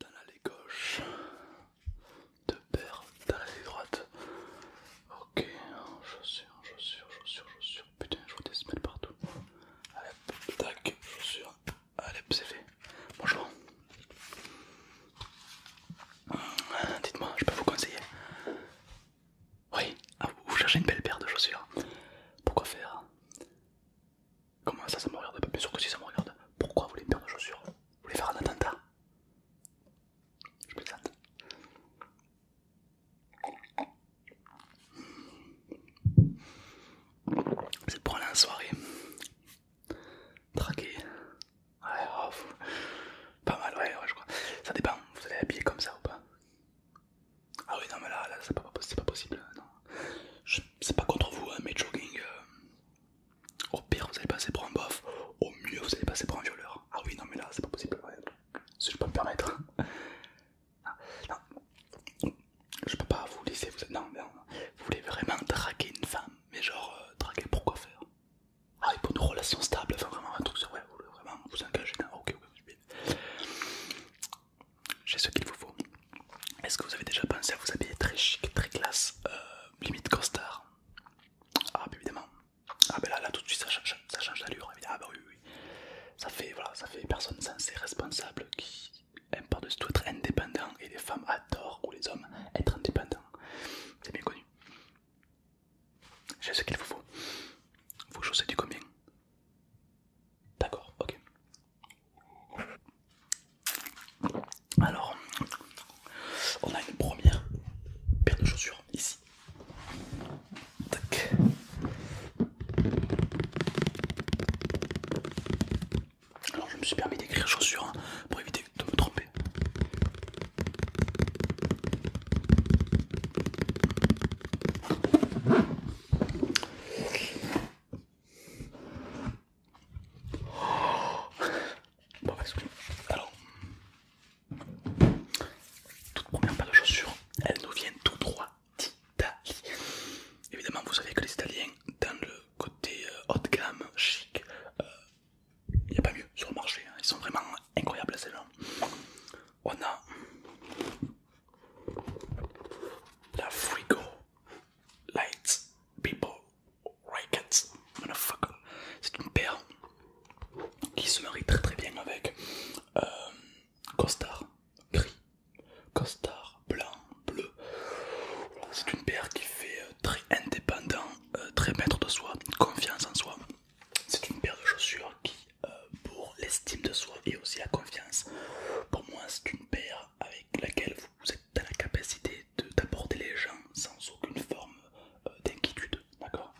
dans l'allée gauche, deux paires dans l'allée droite. Ok, chaussures, chaussures, chaussures, chaussures. Putain, je vois des semelles partout. Allez, tac, chaussures. Allez, c'est fait. Bonjour. Hum, dites-moi, je peux vous conseiller Oui, ah, vous cherchez une belle paire de chaussures. Pourquoi faire Comment ça, ça me regarde pas Bien sûr que si ça me regarde. Pourquoi vous voulez me perdre de chaussures Vous voulez faire un attentat Je plaisante. c'est pour aller en soirée Traqué. Ouais, oh, pas mal, ouais, ouais, je crois. Ça dépend, vous allez habiller comme ça ou pas Ah oui, non, mais là, c'est pas, possible. Non. C'est pas contre vous, hein, mais jogging, euh, au pire, vous allez passer pour un bof, au mieux, vous allez passer pour un violeur. Ah oui, non, mais là, c'est pas possible. Si je peux me permettre, non, je peux pas vous laisser. Vous, non, vous voulez vraiment draguer une femme, mais genre euh, draguer pour quoi faire Ah, pour une relation stable, enfin vraiment un truc, ouais, vous voulez vraiment vous engager Ok, ok, J'ai ce qu'il vous faut. Est-ce que vous avez déjà pensé à vous habiller très chic, très classe, euh, limite costard Ah, bah évidemment. Ah, bah là, là tout de suite, ça change, ça change d'allure. Ah, bah oui, oui. Ça fait, voilà, ça fait personne sensée, responsable, qui aime pas de tout être indépendant. Et les femmes adorent, ou les hommes, être indépendants. C'est bien connu. J'ai ce qu'il vous faut. Vous chaussettes du combien D'accord, ok. Alors, on a une première paire de chaussures ici. Alors, je me suis permis d'écrire chaussures hein, pour éviter de me tromper. Oh. Bon, excusez-moi. toute première paire de chaussures, elle nous vient tout droit d'Italie. Évidemment, vous savez que les Italiens, dans le côté euh, haut de gamme, chic, euh, il n'y a pas mieux sur le marché. Hein. Ils sont vraiment incroyables ces gens. On a la Frigo Lights People c'est une paire qui se marie très très bien avec euh, costard gris, costard blanc, bleu. C'est une paire qui fait euh, très indépendant, euh, très maître de soi, confiance en soi. C'est une paire de chaussures qui, pour l'estime de soi et aussi la confiance, pour moi c'est une paire avec laquelle vous êtes dans la capacité d'aborder les gens sans aucune forme euh, d'inquiétude, d'accord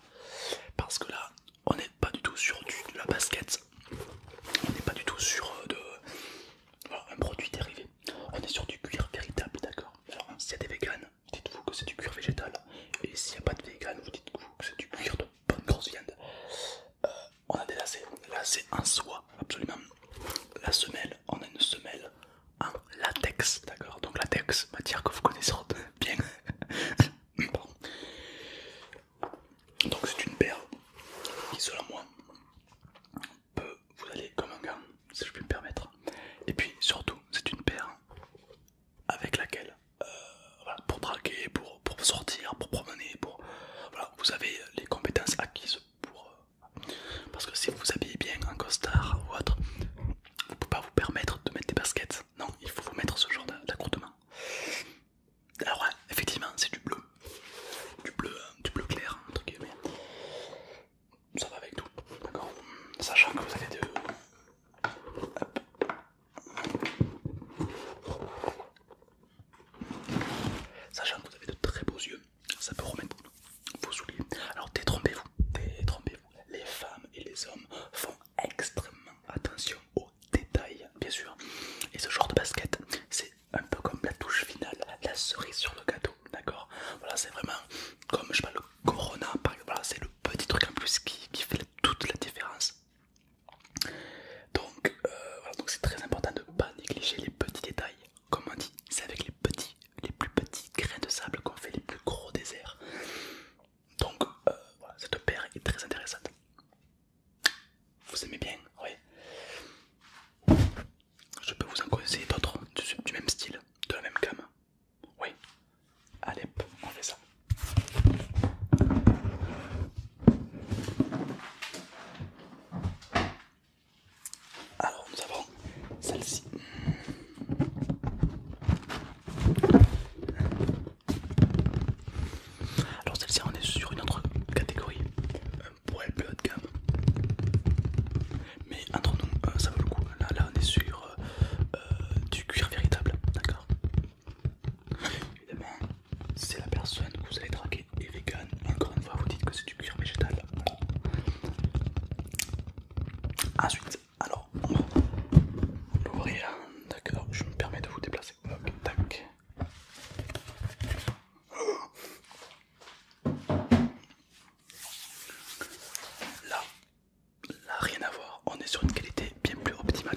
Parce que là, on n'est pas du tout sur du, de la basket, on n'est pas du tout sur euh, de, un produit dérivé, on est sur du cuir véritable, d'accord Alors, s'il y a des véganes, dites-vous que c'est du cuir végétal, et s'il n'y a pas de véganes, vous dites-vous que c'est du cuir de bonne grosse viande. Euh, on a des lacets, lacets en soie, absolument. La semelle on a une semelle en latex, d'accord Donc latex, matière que vous connaissez bien. Donc c'est une paire qui selon moi peut vous aller comme un gant, si je puis me permettre. Et puis surtout c'est une paire avec laquelle, euh, pour braquer, pour, sortir, pour promener, pour... vous avez les compétences acquises pour euh, parce que si vous vous habillez bien en costard ou autre, vous pouvez pas vous permettre de mettre des baskets. Non, il faut vous mettre ce genre d'accoutrement. Alors ouais, effectivement, c'est du bleu. Du bleu, euh, du bleu clair, entre guillemets. Ça va avec tout, d'accord Sachant que vous avez de... Sachant que vous avez de très beaux yeux ça peut remettre vous oubliez. Alors détrompez-vous, détrompez-vous. Les femmes et les hommes font extrêmement attention aux détails, bien sûr. Et ce genre de basket, c'est un peu comme la touche finale, la cerise sur le gâteau, d'accord Voilà, c'est vraiment comme je le Corona, Voilà, c'est le petit truc en plus qui, fait toute la différence. Donc, euh, donc c'est très important de ne pas négliger les petits détails comme on dit, c'est avec les petits, les plus petits grains de sable qu'on fait les plus gros déserts. Donc euh, voilà, cette paire est très intéressante. Vous aimez bien, oui. Je peux vous en conseiller d'autres du, même style, de la même gamme. Oui. Alep on fait ça. Alors nous avons celle-ci. Alors celle-ci on est sur une autre catégorie, un euh, poil plus haut de gamme. Mais entre nous euh, ça vaut le coup. Là, on est sur euh, du cuir véritable, d'accord Évidemment, c'est la personne que vous allez draguer et, vegan. Encore une fois, vous dites que c'est du cuir végétal. Ensuite, alors on va l'ouvrir. D'accord, je me permets de vous déplacer. tac. Là, là, rien à voir. On est sur une qualité bien plus optimale.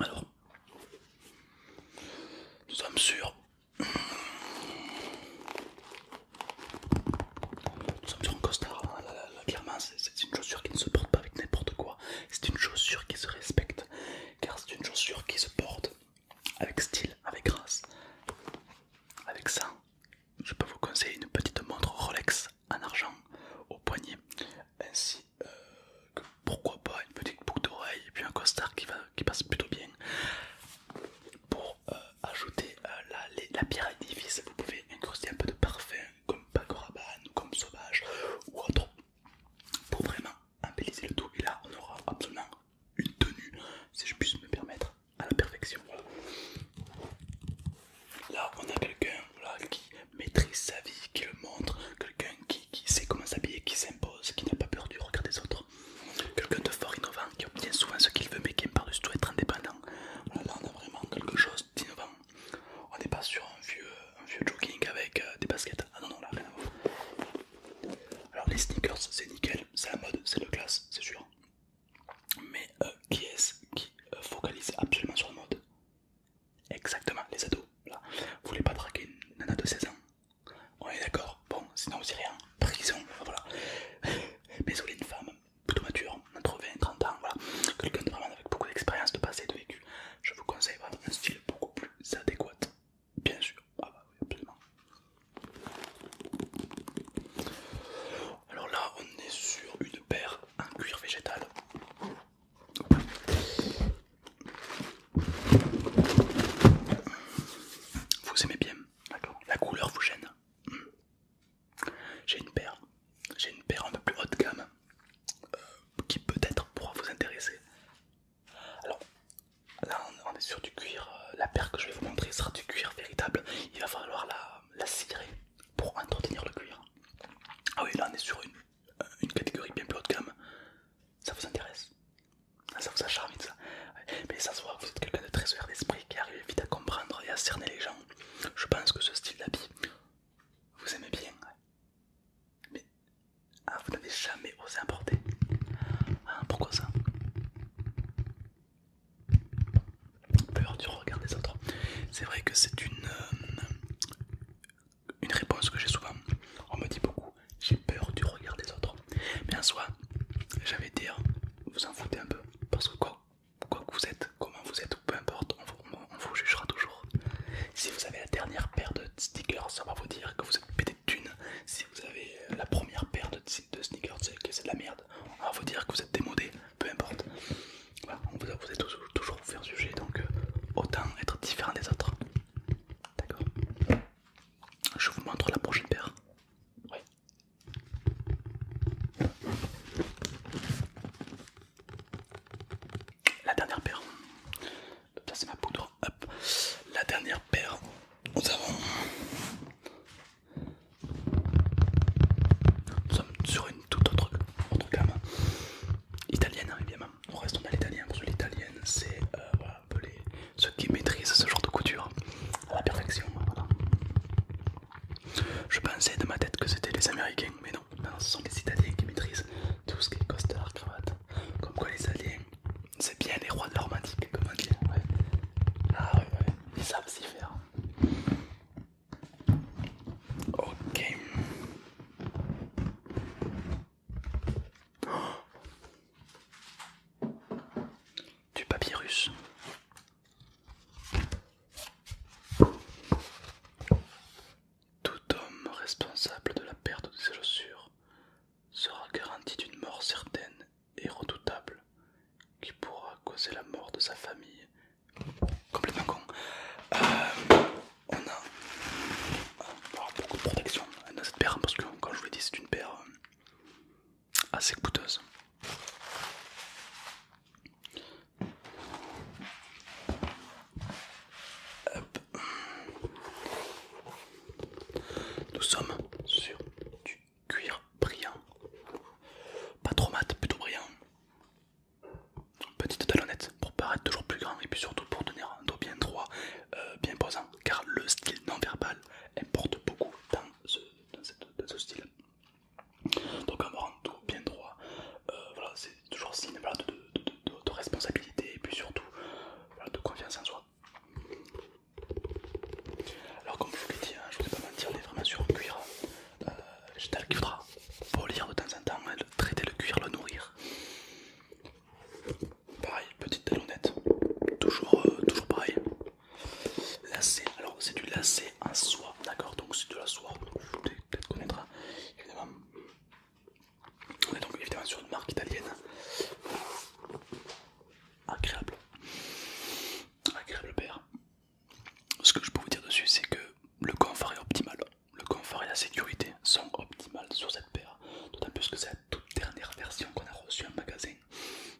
Alors, nous sommes sûrs. Nous sommes sur un costard. clairement, ah c'est une chaussure qui ne se porte pas avec n'importe quoi. C'est une chaussure qui se respecte. Car c'est une chaussure qui se porte avec style, avec grâce. Avec ça, je peux vous conseiller une petite montre Rolex en argent au poignet ainsi pourquoi pas une petite boucle d'oreille et puis un costard qui, va, qui passe plutôt bien. Pour euh, ajouter euh, la, pierre à vous pouvez incruster un peu de parfum comme Paco comme Sauvage ou autre pour vraiment embellir le tout. Et là, on aura absolument une tenue, si je puisse me permettre, à la perfection. Là, on a quelqu'un voilà, qui maîtrise sa vie, qui le montre, quelqu'un qui, qui sait comment s'habiller, qui s'impose, qui n'a pas peur du regard des autres, quelqu'un de fort innovant, qui obtient souvent ce qu'il veut mais qui aime par du tout être indépendant. là on a vraiment quelque chose d'innovant. On n'est pas sur un vieux, un vieux jogging avec euh, des baskets. Ah non, non, là rien à voir. Alors les sneakers, c'est nickel, c'est la mode, c'est le classe, c'est sûr. Mais euh, qui est-ce qui euh, focalise absolument sur la mode Exactement, les ados. Là. Vous voulez pas traquer une nana de 16 ans On est d'accord. Bon, sinon vous irez en prison. Voilà. Mais vous une femme plutôt mature, entre 20 et 30 ans, voilà. Quelqu'un de vraiment avec beaucoup d'expérience, de passé, de vécu, je vous conseille un style beaucoup plus adéquat. Bien sûr. Ah bah absolument. Alors là, on est sur une paire en cuir végétal. Vous aimez bien, La couleur vous gêne. J'ai une paire, j'ai une paire un peu plus haut de gamme euh, qui peut-être pourra vous intéresser. Alors là, on est sur du cuir. Euh, la paire que je vais vous montrer sera du cuir véritable. Il va falloir la, la cirer pour entretenir le cuir. Ah oui, là on est sur une une catégorie bien plus haut de gamme, ça vous intéresse, ah, ça vous acharne ça. Mais ça se vous êtes quelqu'un de très ouvert d'esprit qui arrive vite à comprendre et à cerner les gens. Je pense que ce style d'habit, vous aimez bien. Mais ah, vous n'avez jamais osé importer. Ah, pourquoi ça Peur du regard des autres. C'est vrai que c'est une, euh, une réponse que j'ai souvent. On me dit beaucoup, j'ai peur du regard des autres. Mais en soi, j'avais dire, vous en foutez un peu. Parce que quoi, que vous êtes, comment vous êtes, peu importe, on vous, jugera toujours. Si vous avez la dernière paire de sneakers, ça va vous dire que vous êtes pété de thunes. Si vous avez euh, la première paire de, sneakers, c'est que c'est de la merde. On va vous dire que vous êtes démodé, peu importe. on vous, vous êtes toujours vous faire sujet donc euh, autant être différent des autres. D'accord. Je vous montre la prochaine paire. Oui. La dernière paire. Ça c'est ma poudre. La dernière paire. Nous avons. Nous sommes sur une toute autre, autre gamme italienne évidemment on reste l'italien l'italienne c'est euh, ceux qui maîtrisent ce genre de couture à la perfection. Je pensais de ma tête que c'était les américains, mais non, non, ce sont les italiens qui maîtrisent tout ce qui est costard, cravate. Comme quoi les italiens, c'est bien les rois de romantique comment dire. Hein, ah oui, ils savent s'y faire. Ok du papyrus. Tout homme responsable de la perte de ses chaussures sera garanti d'une mort certaine et redoutable qui pourra causer la mort de sa famille. Complètement con. Euh, on a euh, beaucoup de protection dans cette paire parce que comme je vous l'ai dit c'est une paire euh, assez coûteuse. Nous sommes sur du cuir brillant, pas trop mat, plutôt brillant petite talonnette pour paraître toujours plus grand et puis surtout pour tenir un dos bien droit, euh, bien posant, car le style non verbal importe beaucoup dans ce, style. Donc avoir un dos tout bien droit, euh, voilà, c'est toujours signe de, responsabilité et puis surtout de confiance en soi. Alors comme je vous l'ai dit, hein, je ne vous pas mentir, on est vraiment sur le cuir. Euh, le qu'il faudra polir de temps en temps, hein, traiter le cuir, le nourrir. Pareil, petite talonnette. Toujours, euh, toujours pareil. Lacet, alors c'est du lacet en soie, d'accord Donc c'est de la soie, vous peut-être connaîtra. Évidemment, on est donc évidemment sur une marque italienne. Agréable. Agréable père. Ce que je peux vous dire dessus, c'est que le confort est optimal le confort et la sécurité sont optimales sur cette paire, d'autant plus que c'est la toute dernière version qu'on a reçue en magasin.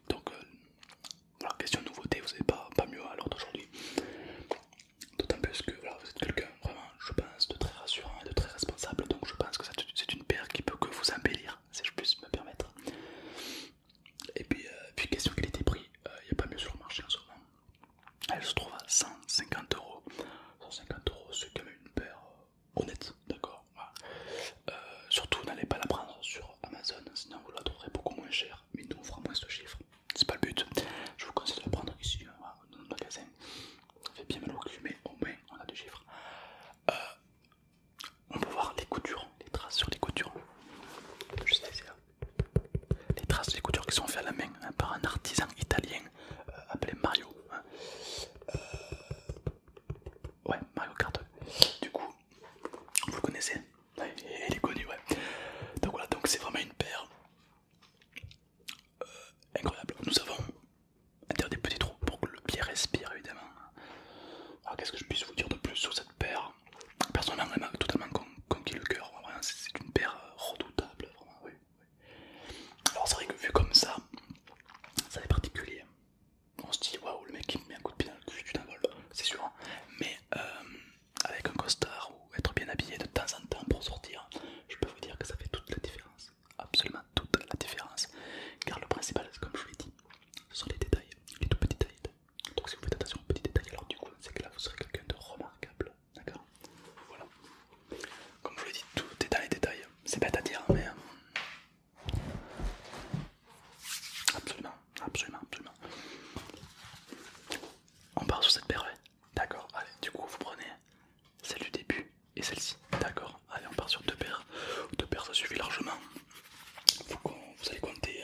Donc, euh, question de nouveauté, vous n'êtes pas, pas mieux à l'heure d'aujourd'hui. D'autant plus que vous êtes quelqu'un vraiment, je pense, de très rassurant et de très responsable. Donc, je pense que c'est une paire qui peut que vous embellir, si je puisse me permettre. Et puis, euh, question qualité-prix, il euh, n'y a pas mieux sur le marché en ce moment. Elle se trouve à 150 euros 150 euros, c'est quand même une paire euh, honnête, d'accord euh, Surtout, n'allez pas la prendre sur Amazon, sinon vous la trouverez beaucoup moins chère, mais nous on fera moins ce chiffre, c'est pas le but. Je vous conseille de la prendre ici, hein, dans notre magasin. Ça fait bien mal au cul, mais au moins on a des chiffres. Euh, on peut voir les coutures, les traces sur les coutures. Juste ici, Les traces des coutures qui sont faites à la main hein, par un artisan italien appelé Mario. Hein. Euh, ouais, Mario Kart. Du coup, vous le connaissez ouais, Il est connu, ouais. Donc voilà, donc c'est vraiment une paire euh, incroyable. Nous avons faire des petits trous pour que le pied respire, évidemment. Alors qu'est-ce que je puisse vous dire de plus sur cette paire Personnellement, elle m'a totalement conquis le cœur. C'est une paire euh, redoutable, vraiment. Alors c'est vrai que vu comme ça, ça est particulier. On se dit waouh, le mec il me met un coup de pied dans le cul, tu vol, c'est sûr. Hein. Mais euh, avec un costard ou être bien habillé de temps en temps pour sortir, je peux vous dire que ça fait toute la différence. Absolument toute la différence. Car le principal, comme je vous l'ai dit, ce sont les détails, les tout petits détails. Donc si vous faites attention aux petits détails, alors du coup, c'est que là vous serez quelqu'un de remarquable. D'accord Voilà. Comme je le dis, tout est dans les détails. C'est bête à dire, mais. Euh, absolument, absolument, absolument. On part sur cette paire, D'accord, allez, du coup, vous prenez celle du début et celle-ci. D'accord, allez, on part sur deux paires. Deux paires, ça suffit largement. Vous, allez compter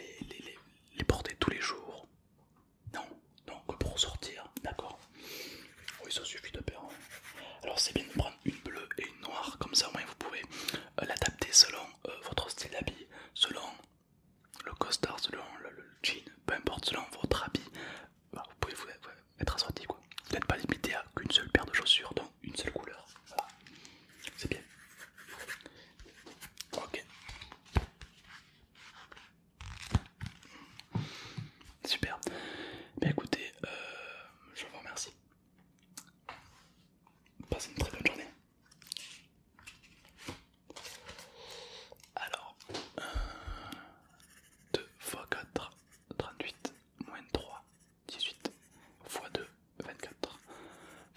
euh, les, portées tous les jours, non, donc pour sortir, d'accord. Oui, ça suffit de perdre Alors c'est bien de prendre une bleue et une noire, comme ça au moins vous pouvez euh, l'adapter selon euh, votre style d'habit, selon le costard, selon le, jean, peu importe, selon votre habit. Bah, vous pouvez vous être assorti quoi. Vous n'êtes pas limité à qu'une seule paire de chaussures, donc une seule couleur. C'est bien. Ok. Super. Bah écoutez, euh, je vous remercie. Passez une très bonne journée. Alors, 2 x 4, 38, moins 3, 18, x 2, 24.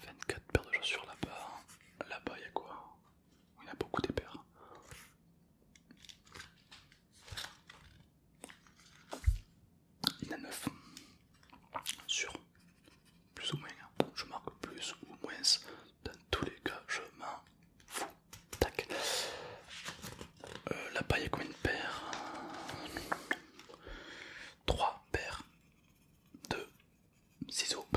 24 paires de chaussures là-bas. Là-bas, il y a quoi il y a beaucoup paires hein. Il y en a 9 sur plus ou moins. Hein. Je marque plus ou moins. Dans tous les cas, je m'en fous. Tac. Euh, la paille est combien de paires 3 paires de ciseaux.